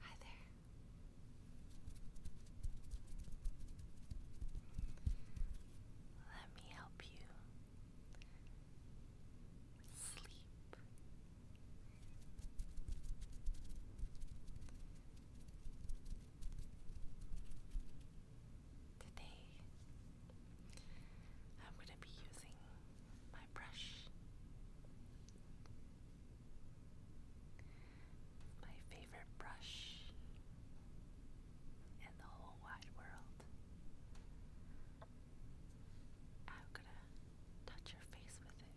Hi there. Let me help you sleep. Today, I'm going to be using my brush. My favorite brush in the whole wide world. I'm gonna touch your face with it.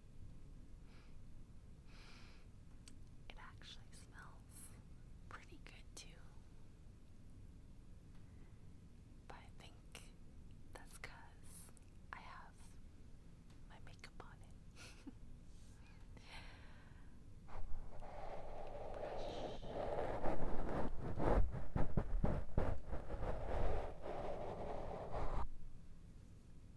It actually smells pretty good too. But I think that's because I have my makeup on it.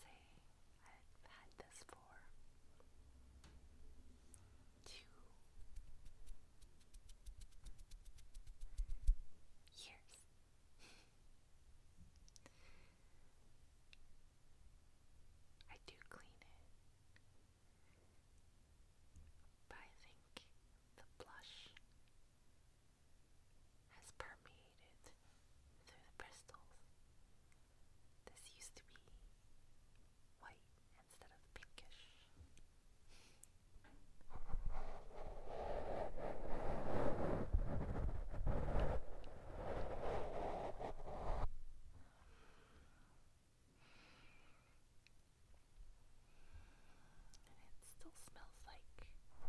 Say, I've had this for two years. I do clean it, but I think the blush has permeated through the crystals. This used to be white instead of pinkish it still smells like roses.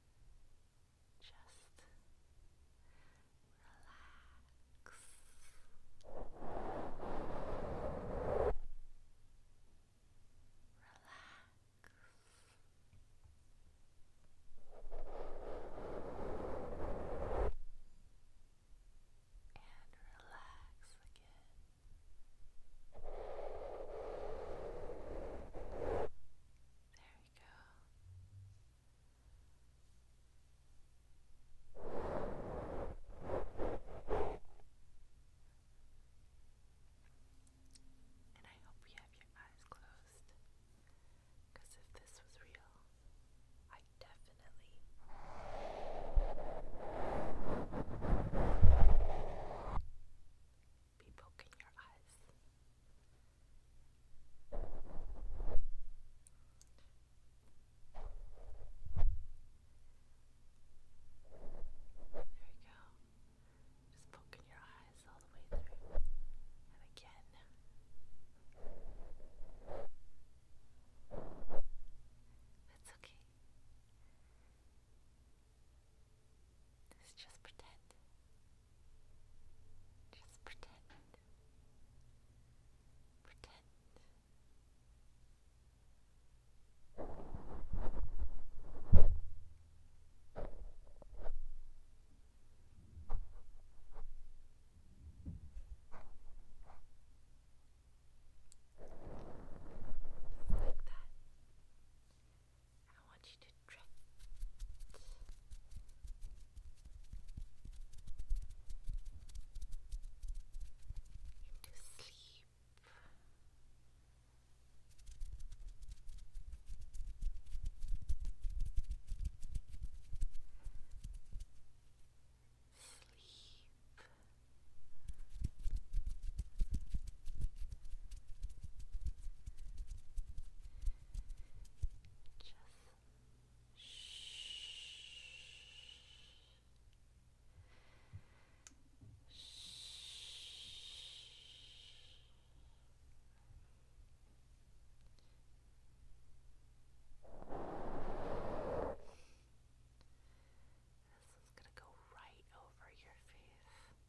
Just relax. Relax. And relax again. There we go. And I hope you have your eyes closed. Because if this was real, I definitely be poking your eyes. There we go. Just poking your eyes all the way through. And again. That's okay. This is just pretend. Just pretend. Pretend. Just like that. I want you to drift. Into sleep. Sleep. This is going to go right over your face.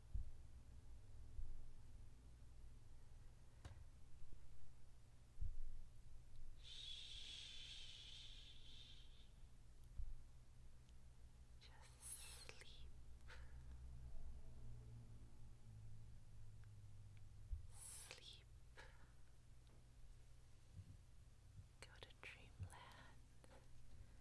Just sleep. Sleep. Go to dreamland.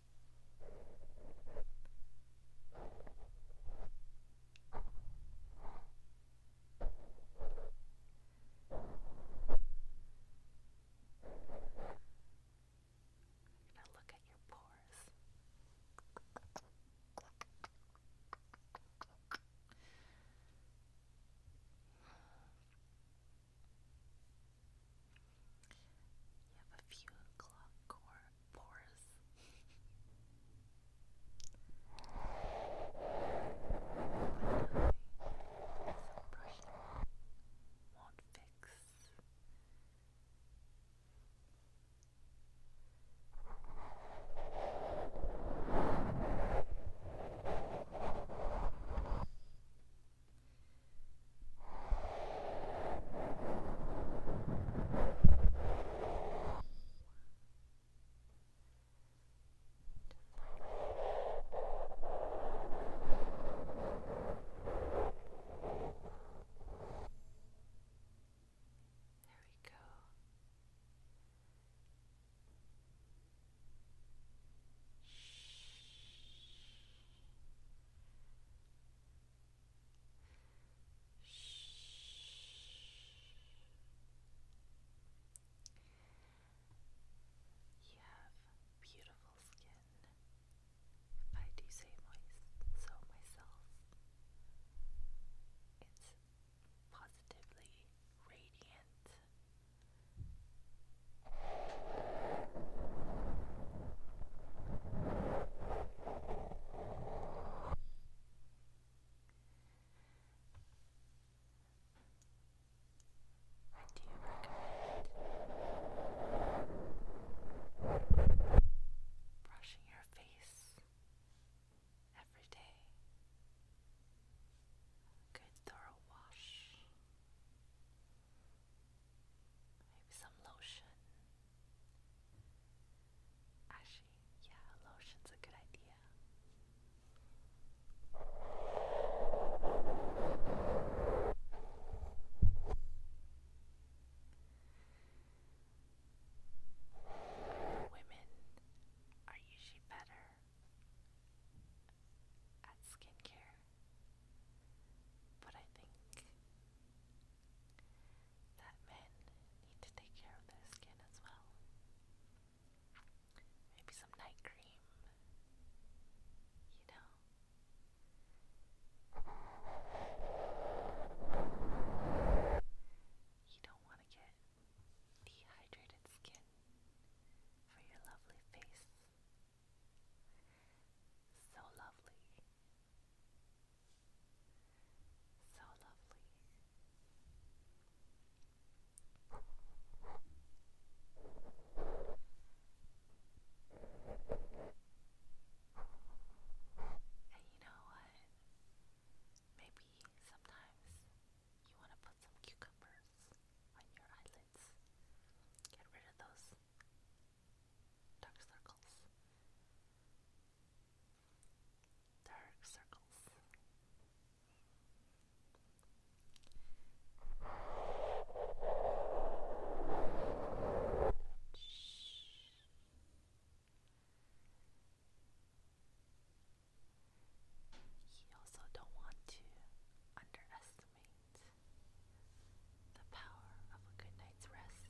I'm gonna look at your pores. You have a few clock core pores. Some brushing won't fix we go. You have beautiful skin. If I do say so myself, it's positively radiant do you recommend brushing your face every day? A good thorough wash. Maybe some lotion. Actually, yeah, a lotion's a good idea. Women are usually better at skincare, but I think that men need to take care of their skin as well. Maybe some night cream, you know. You don't want to get dehydrated skin for your lovely face. So lovely. So lovely. And you know what? Maybe sometimes you want to put some cucumbers on your eyelids. Get rid of those Dark circles. Dark circles. You also don't want to underestimate the power of a good night's rest.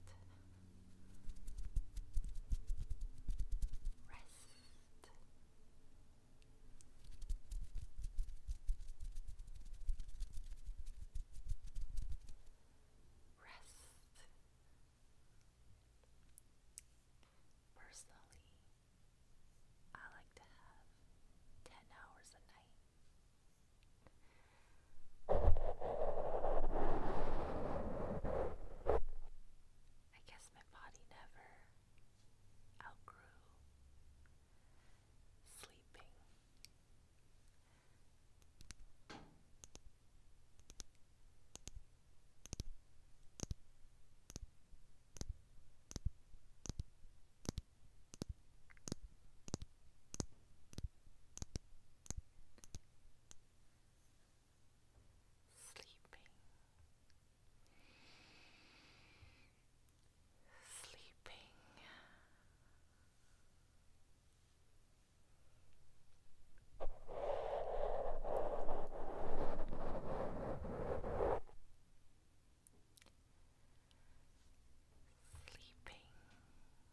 Rest. Rest. Personally, I like to have 10 hours a night I guess my body never outgrew sleeping sleeping, sleeping. Sleeping,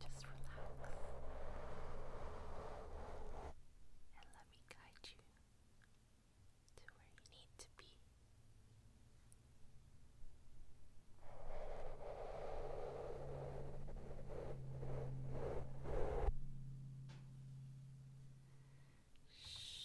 Just relax and let me guide you to where you need to be. Shh.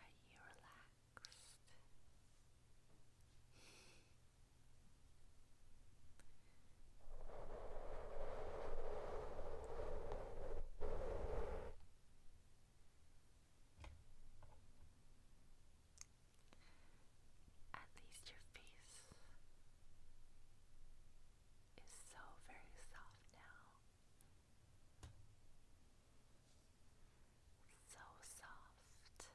Are you relaxed? At least your face is so very soft now so soft, so soft.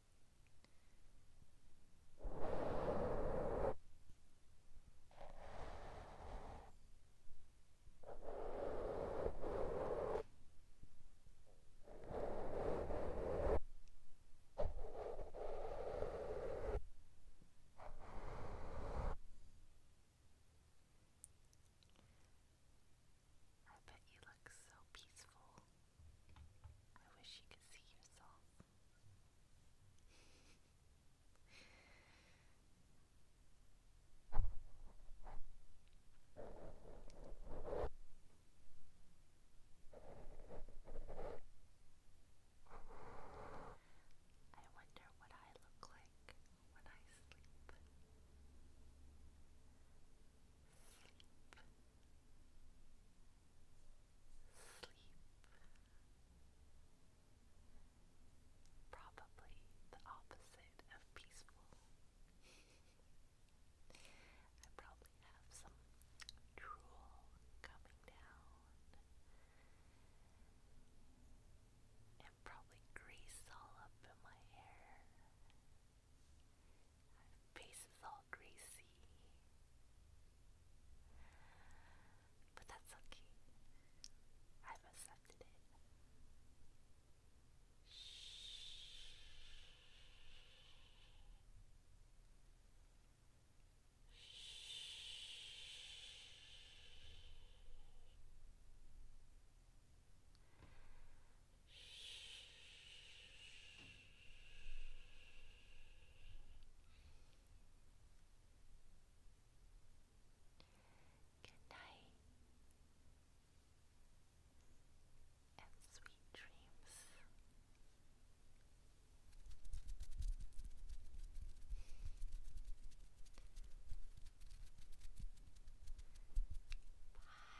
I bet you look so peaceful. I wish you could see yourself. I wonder what I look like when I sleep. Sleep sleep. Probably the opposite of peaceful. I probably have some drool coming down and probably grease all up in my hair face is all greasy. But that's okay. I've accepted it. Shh. Shh. Shh. Good night and sweet dreams. Bye.